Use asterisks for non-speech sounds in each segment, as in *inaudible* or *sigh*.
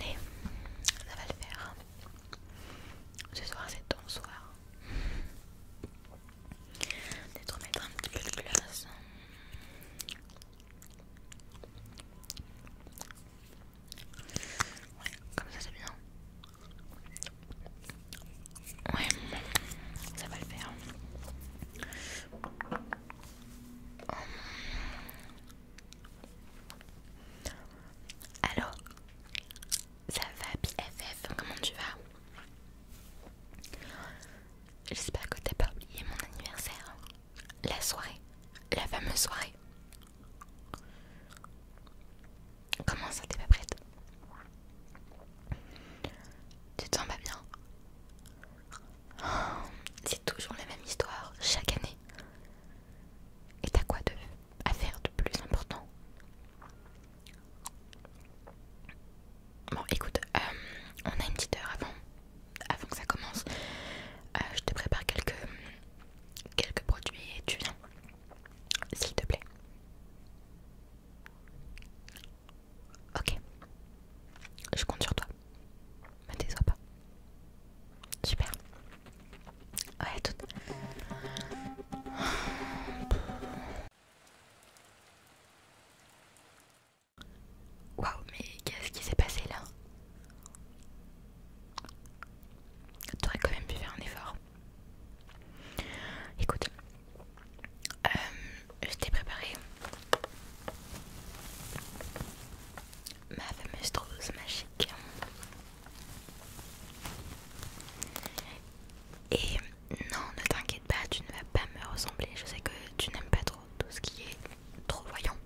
Allez, ça va le faire. Ce soir, c'est ton soir. Peut-être remettre un petit peu de glace. Ouais, comme ça c'est bien. Ouais, ça va le faire. Alors, ça va BFF, comment tu vas J'espère que t'as pas oublié mon anniversaire. La soirée, la fameuse soirée. Comment ça t'es pas prête Tu te sens bien C'est toujours la même histoire, chaque année. Et t'as quoi de, à faire de plus important Bon, écoute, euh, on a une petite heure avant, avant que ça commence. Euh, je te prépare quelques, quelques produits et tu viens, s'il te plaît. Ok, je compte sur toi. Me déçois pas. Super. Ouais, à Waouh, mais qu'est-ce qui s'est passé là T'aurais quand même pu faire un effort. Écoute, euh, je t'ai préparé ma fameuse trousse magique. Et non, ne t'inquiète pas, tu ne vas pas me ressembler. Je sais que tu n'aimes pas trop tout ce qui est trop voyant.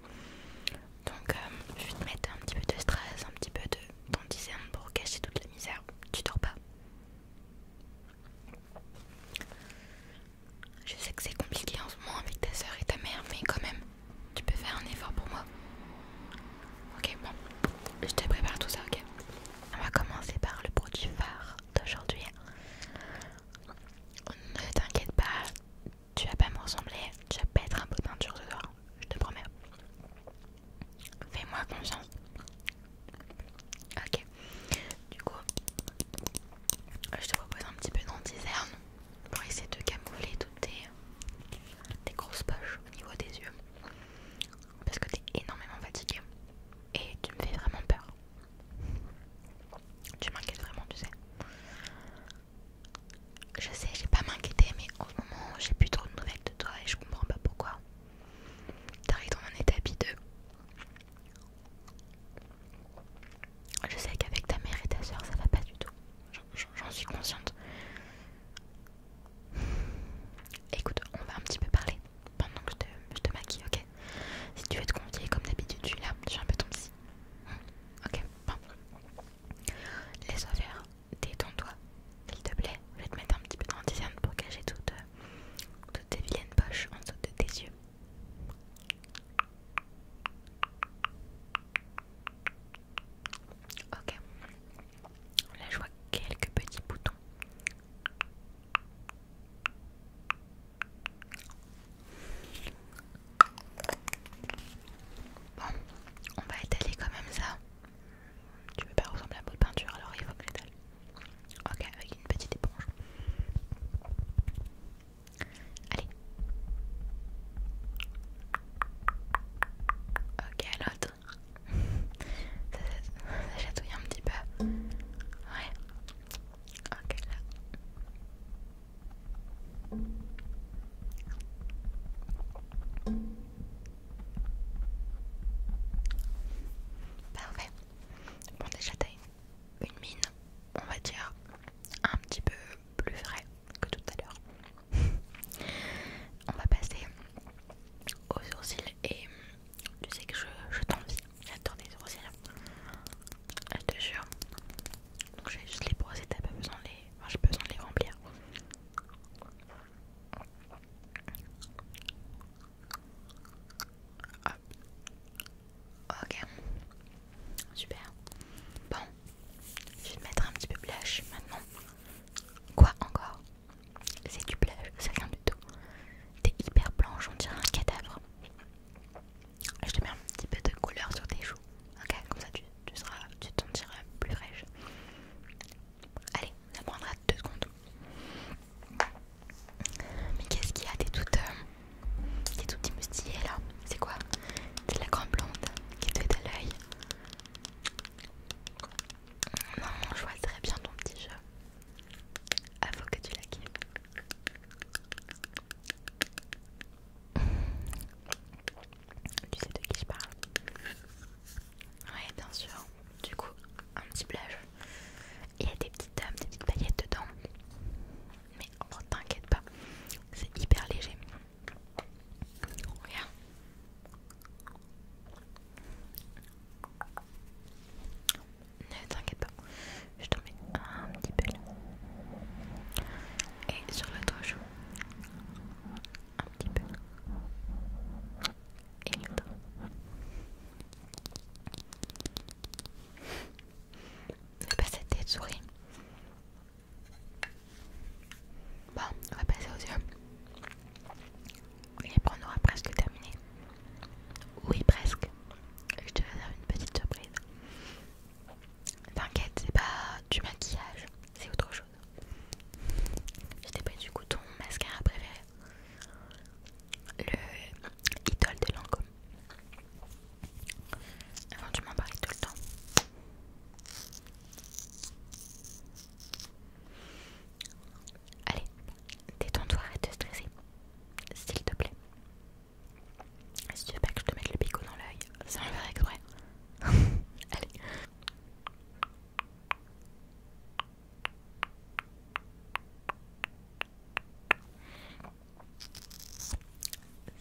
Donc euh, je vais te mettre un petit peu de stress, un petit peu de dentiserne pour cacher toute la misère. Tu dors pas. Je sais que c'est compliqué en ce moment avec ta soeur et ta mère, mais quand même, tu peux faire un effort pour moi Ok, bon. Je te prépare tout ça, ok On va commencer par le produit phare d'aujourd'hui. Ne t'inquiète pas, tu vas pas me ressembler, tu vas pas être un peu peinture ce soir, je te promets. Fais-moi confiance. Ok, du coup, je te propose un petit peu diserne pour essayer de camoufler toutes tes, grosses poches au niveau des yeux parce que t'es énormément fatiguée et tu me fais vraiment peur. Tu m'inquiètes vraiment, tu sais. Je sais, j'ai pas m'inquiéter, mais en ce moment j'ai plus trop de nouvelles de toi et je comprends pas pourquoi. T'arrives dans un état bideux Je sais qu'avec ta mère et ta soeur ça va pas du tout j'en suis consciente. Écoute, on va un petit peu parler pendant que je te, maquille, ok Si tu veux te confier, comme d'habitude, tu suis là, j'ai un peu ton psy. Hmm, ok, bon. Laisse-toi faire, détends-toi, s'il te plaît. Je vais te mettre un petit peu de grandisane pour cacher toutes, euh, toutes tes vilaines poches en dessous de tes yeux. Ok. Là, je vois quelques petits boutons. Bon, on va étaler quand même ça. Tu veux pas ressembler à ma peinture, alors il faut que j'étale. Ok, avec une petite éponge. Allez. Ok, l'autre. *laughs* ça, j'attouille un petit peu. Ouais. Ok, là. Parfait. Bon, déjà, t'as une, une mine, on va dire, un petit peu plus vraie que tout à l'heure. On va passer aux sourcils et tu sais que je, je t'envie. J'adore les sourcils. Hein. Ah, je te jure. Donc je vais juste les et t'as pas besoin de les. j'ai besoin de les remplir. Hop. Ok. Super. Bon, je vais te mettre un petit peu blush maintenant. Quoi encore C'est du blush, c'est rien du tout. T'es hyper blanche, on dirait un cadavre. Je te mets un petit peu de couleur sur tes joues. Ok, comme ça tu, seras, tu t'en diras plus fraîche. Allez, ça prendra deux secondes. Mais qu'est-ce qu'il y a T'es tout euh, t'es toute là. C'est quoi C'est la grande blonde qui te fait à l'œil. Non, je vois très bien ton petit jeu. Il que tu la Tu sais de qui je parle Ouais, bien sûr. Du coup, un petit plage. Il y a des petites dames, des petites paillettes dedans. Mais ne oh, t'inquiète pas, c'est hyper léger. Oh ne t'inquiète pas, je te mets un petit peu là. Et sur le touche. Un petit peu. Et l'autre. ne pas cette tête souris. Bon, on va passer aux yeux. on aura presque terminé. Oui, presque. Je te réserve une petite surprise. T'inquiète, c'est pas du maquillage, c'est autre chose. Je t'ai pris du couteau mascara préféré. Le Idol de Lancôme. Avant tu m'en parlais tout le temps. Allez, détends-toi, arrête de stresser. S'il te plaît. Si tu veux pas que je te mette le picot dans l'œil, c'est un vrai. que *laughs* Allez.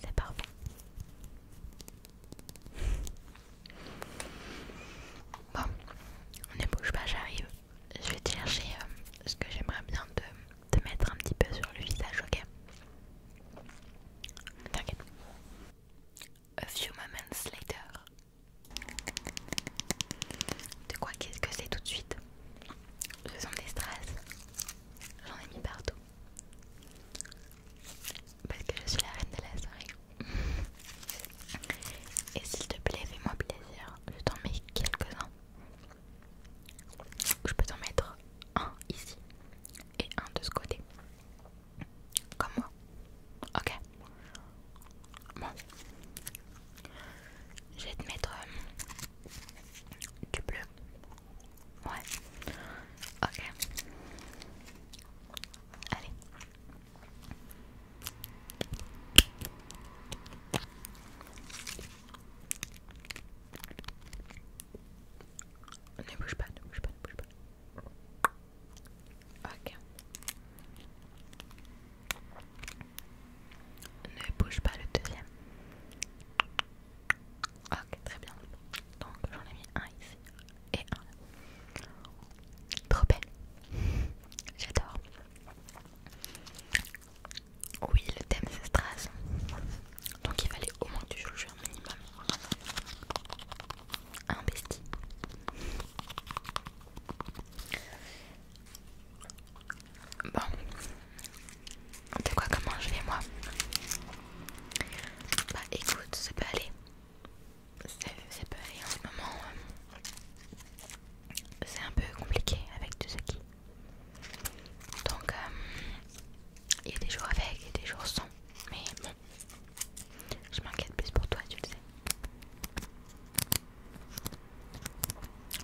C'est parfait. Bon, ne bouge pas, j'arrive. Je vais te chercher euh, ce que j'aimerais bien te, mettre un petit peu sur le visage, ok T'inquiète. A few moments later. De quoi qu'est-ce que c'est tout de suite Ce sont des strass. J'en ai mis partout. Parce que je suis la reine de la soirée. *laughs* Et s'il te plaît, fais-moi plaisir. Je t'en mets quelques-uns. Je peux t'en mettre un ici et un de ce côté. Comme moi. Ok. Bon. Je vais te mettre euh, du bleu. Ouais. Ok. Allez. Ne bouge pas, ne bouge pas, ne bouge pas. Ok. Ne bouge pas le deuxième. Ok, très bien. Donc j'en ai mis un ici et un là. Trop belle. J'adore. Oui, le thème c'est Strass. Donc il fallait au moins du jeu un minimum. Un bestie. Bon, de quoi comment je vais moi bah écoute, ça peut aller. Ça, peut aller en ce moment. Euh. C'est un peu compliqué avec tout ce qui. Donc euh, il y a des jours avec et des jours sans. Mais bon, je m'inquiète plus pour toi, tu le sais.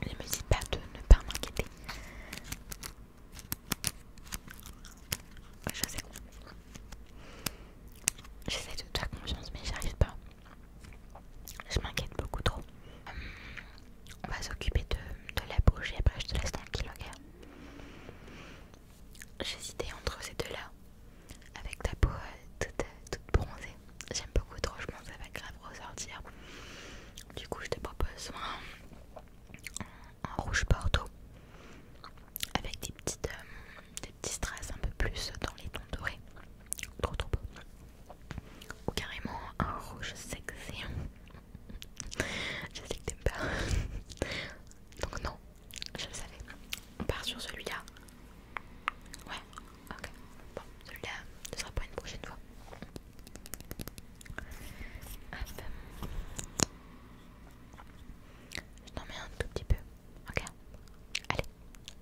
Ne me dis pas de ne pas m'inquiéter. Je sais. J'essaie de te faire confiance, mais j'y arrive pas. Je m'inquiète beaucoup trop. Euh, on va s'occuper de, la bouche et après je te laisse tranquille, ok J'hésitais entre ces deux-là. Avec ta peau euh, euh, toute, bronzée. J'aime beaucoup trop, je pense que ça va grave ressortir. Du coup, je te propose un rouge bordeaux avec des, petites, euh, des petits strass un peu plus dans les tons dorés. Trop trop beau. Ou carrément un rouge sexy. je sais que t'aimes pas. *laughs* Donc non, je le savais. On part sur celui-là. Ouais, ok. Bon, celui-là, ce sera pour une prochaine fois. Hop. Je t'en mets un tout petit peu. Ok Allez,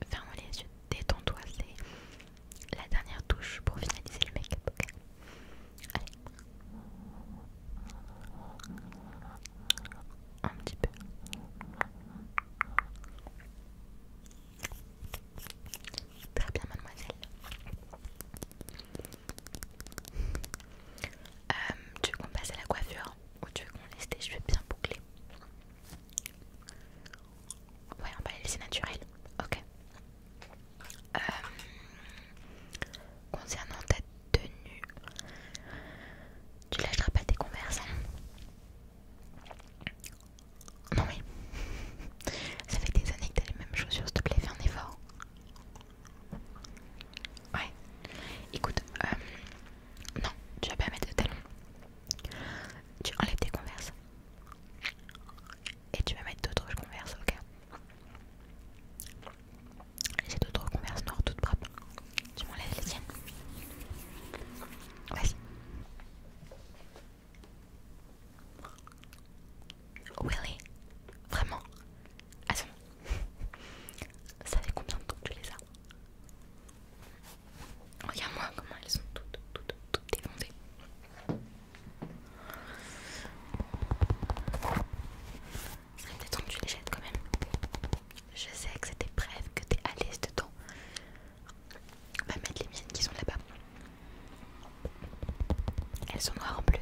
ferme les yeux, détends-toi, c'est la dernière touche pour finaliser le make-up. ok Allez. Un petit peu. Très bien, mademoiselle. Euh, tu veux qu'on passe à la coiffure ou tu veux qu'on laisse tes cheveux bien bouclés Ouais, on va les laisser naturels. Ok. Euh, concernant ta tenue, tu lâcheras pas tes converses hein Non, oui. *laughs* Ça fait des années que t'as les mêmes chaussures, s'il te plaît, fais un effort. Ouais. Écoute, euh, non, tu vas pas mettre de talons. Tu enlèves tes converses. Et tu vas mettre d'autres converses, ok J'ai d'autres converses noires toutes propres. Tu m'enlèves les tiennes. Vas-y. Willy, vraiment, Attends. Ça fait combien de temps que tu les as Regarde-moi comment elles sont toutes, toutes, toutes défoncées. Ça serait peut-être temps que tu les jettes quand même. Je sais que c'était bref, que t'es à l'aise dedans. On va mettre les miennes qui sont là-bas. Elles sont noires en plus.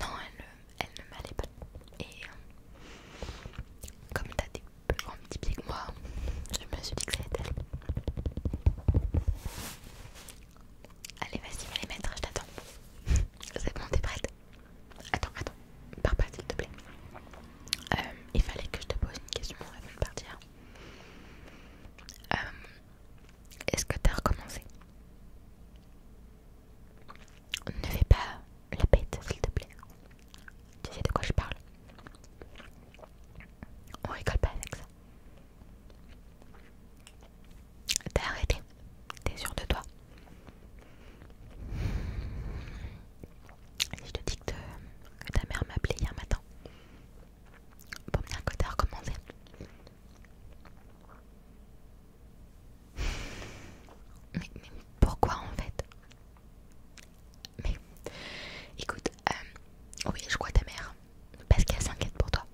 Non, elle, ne m'allait pas. Et euh, comme t'as des plus grands petits pieds que moi, je me suis dit que c'était elle. Allez, vas-y, va les mettre, je t'attends. *laughs* C'est bon, t'es prête Attends, attends, pars pas s'il te plaît. Euh, il fallait que je te pose une question avant de partir. Euh, est-ce que t'as recommencé Ne fais pas la bête, s'il te plaît. Tu sais de quoi je parle. On rigole pas avec ça. T'as arrêté. T'es sûr de toi. Je te dis que ta mère m'a appelé hier matin. Bon, bien que que recommencer. *laughs* Mais, mais pourquoi en fait Mais écoute, euh, oui, je crois ta mère. Parce qu'elle s'inquiète pour toi.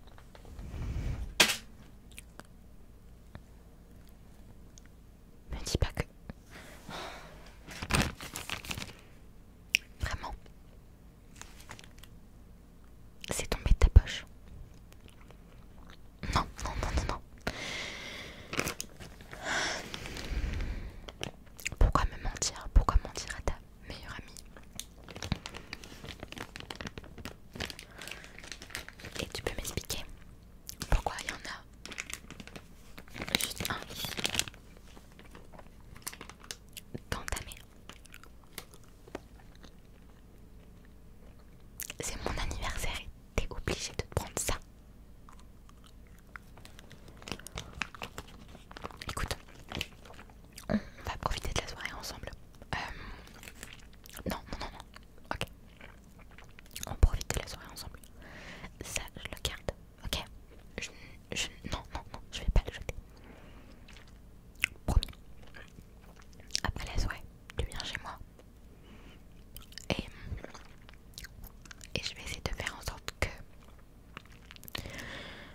Me dis pas que... Vraiment c'est tombé de ta poche. Non, non, non, non, non. Pourquoi me mentir Pourquoi mentir à ta meilleure amie Et tu peux m'expliquer pourquoi il y en a juste un ici dans C'est mon anniversaire et t'es obligé de te prendre ça. Écoute, on va profiter de la soirée ensemble. Euh, non, non, non, non. Ok. On profite de la soirée ensemble. Ça, je le garde. Ok je, Non, non, non, je vais pas le jeter. Promis. Après la ouais, tu viens chez moi. Et, et je vais essayer de faire en sorte que...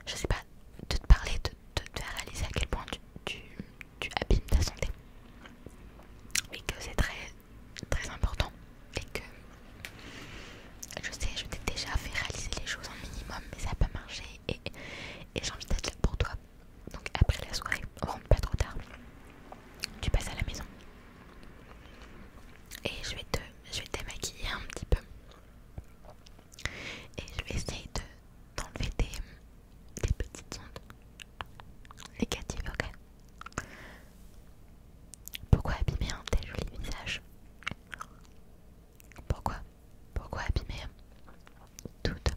Je sais pas, de te parler, de te faire réaliser à quel point tu, tu, tu abîmes ta santé. Et que c'est très, très important. Et que je sais, je t'ai déjà fait réaliser les choses en minimum, mais ça n'a pas marché et, j'ai envie d'être là pour toi. Donc après la soirée, rentre pas trop tard, tu passes à la maison et je vais te, je démaquiller un petit peu et je vais essayer de d'enlever tes petites ondes négatives, ok Pourquoi abîmer un tel joli visage pourquoi Pourquoi abîmer toute,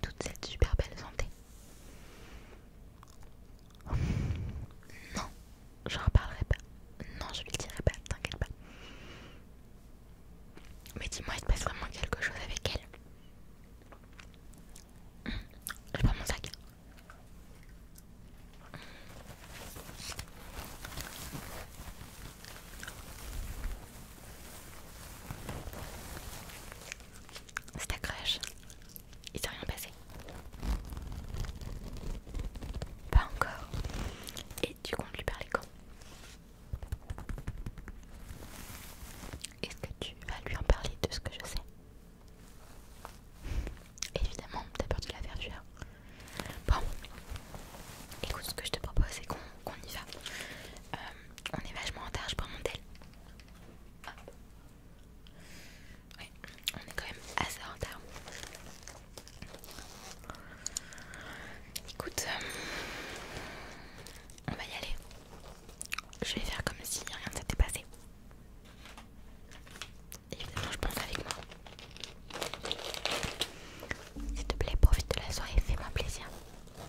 toute cette super belle santé Non, j'en reparlerai pas. Non, je lui dirai pas, t'inquiète pas. Mais dis-moi, il te passe vraiment quelque chose avec elle. Hmm, je prends mon sac. C'est ta crèche Il s'est rien passé. Pas encore. Et tu comptes lui parler quand Est-ce que tu vas lui en parler de ce que je sais Évidemment, t'as peur de la verdure. Bon, écoute, ce que je te propose, c'est qu'on y va. Euh, on est vachement en retard, je prends mon tel. Ah. on est quand même assez en retard. Écoute, euh, on va y aller. Je vais faire comme si rien ne s'était passé. Évidemment, je pense avec moi. S'il te plaît, profite de la soirée, fais-moi plaisir.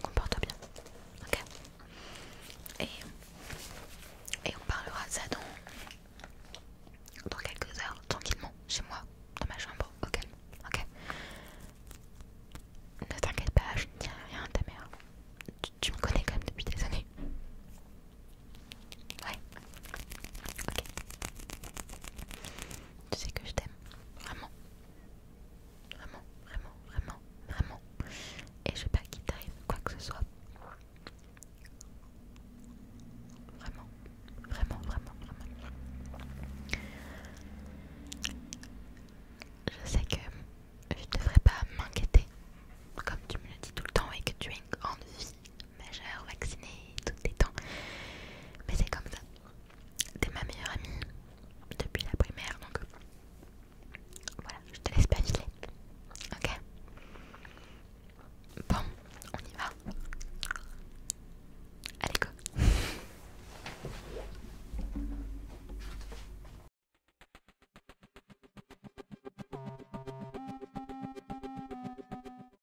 comporte bien. Ok et, et on parlera de ça dans, dans quelques heures, tranquillement, chez moi, dans ma chambre, Ok Ne t'inquiète pas, je ne rien à ta mère. Tu, tu me connais quand même depuis des années. Ouais. Ok. Tu sais que je t'aime. Vraiment. Vraiment, vraiment, vraiment, vraiment. Et je sais pas qu'il t'arrive quoi que ce soit. Vraiment, vraiment, vraiment, vraiment. Je sais que je ne devrais pas m'inquiéter, comme tu me le dis tout le temps, et que tu es une grande majeure, vaccinée, tout temps Mais c'est comme ça. T'es ma meilleure amie depuis la primaire, donc voilà, je te laisse pas filer. Ok Bon, on y va. Allez, go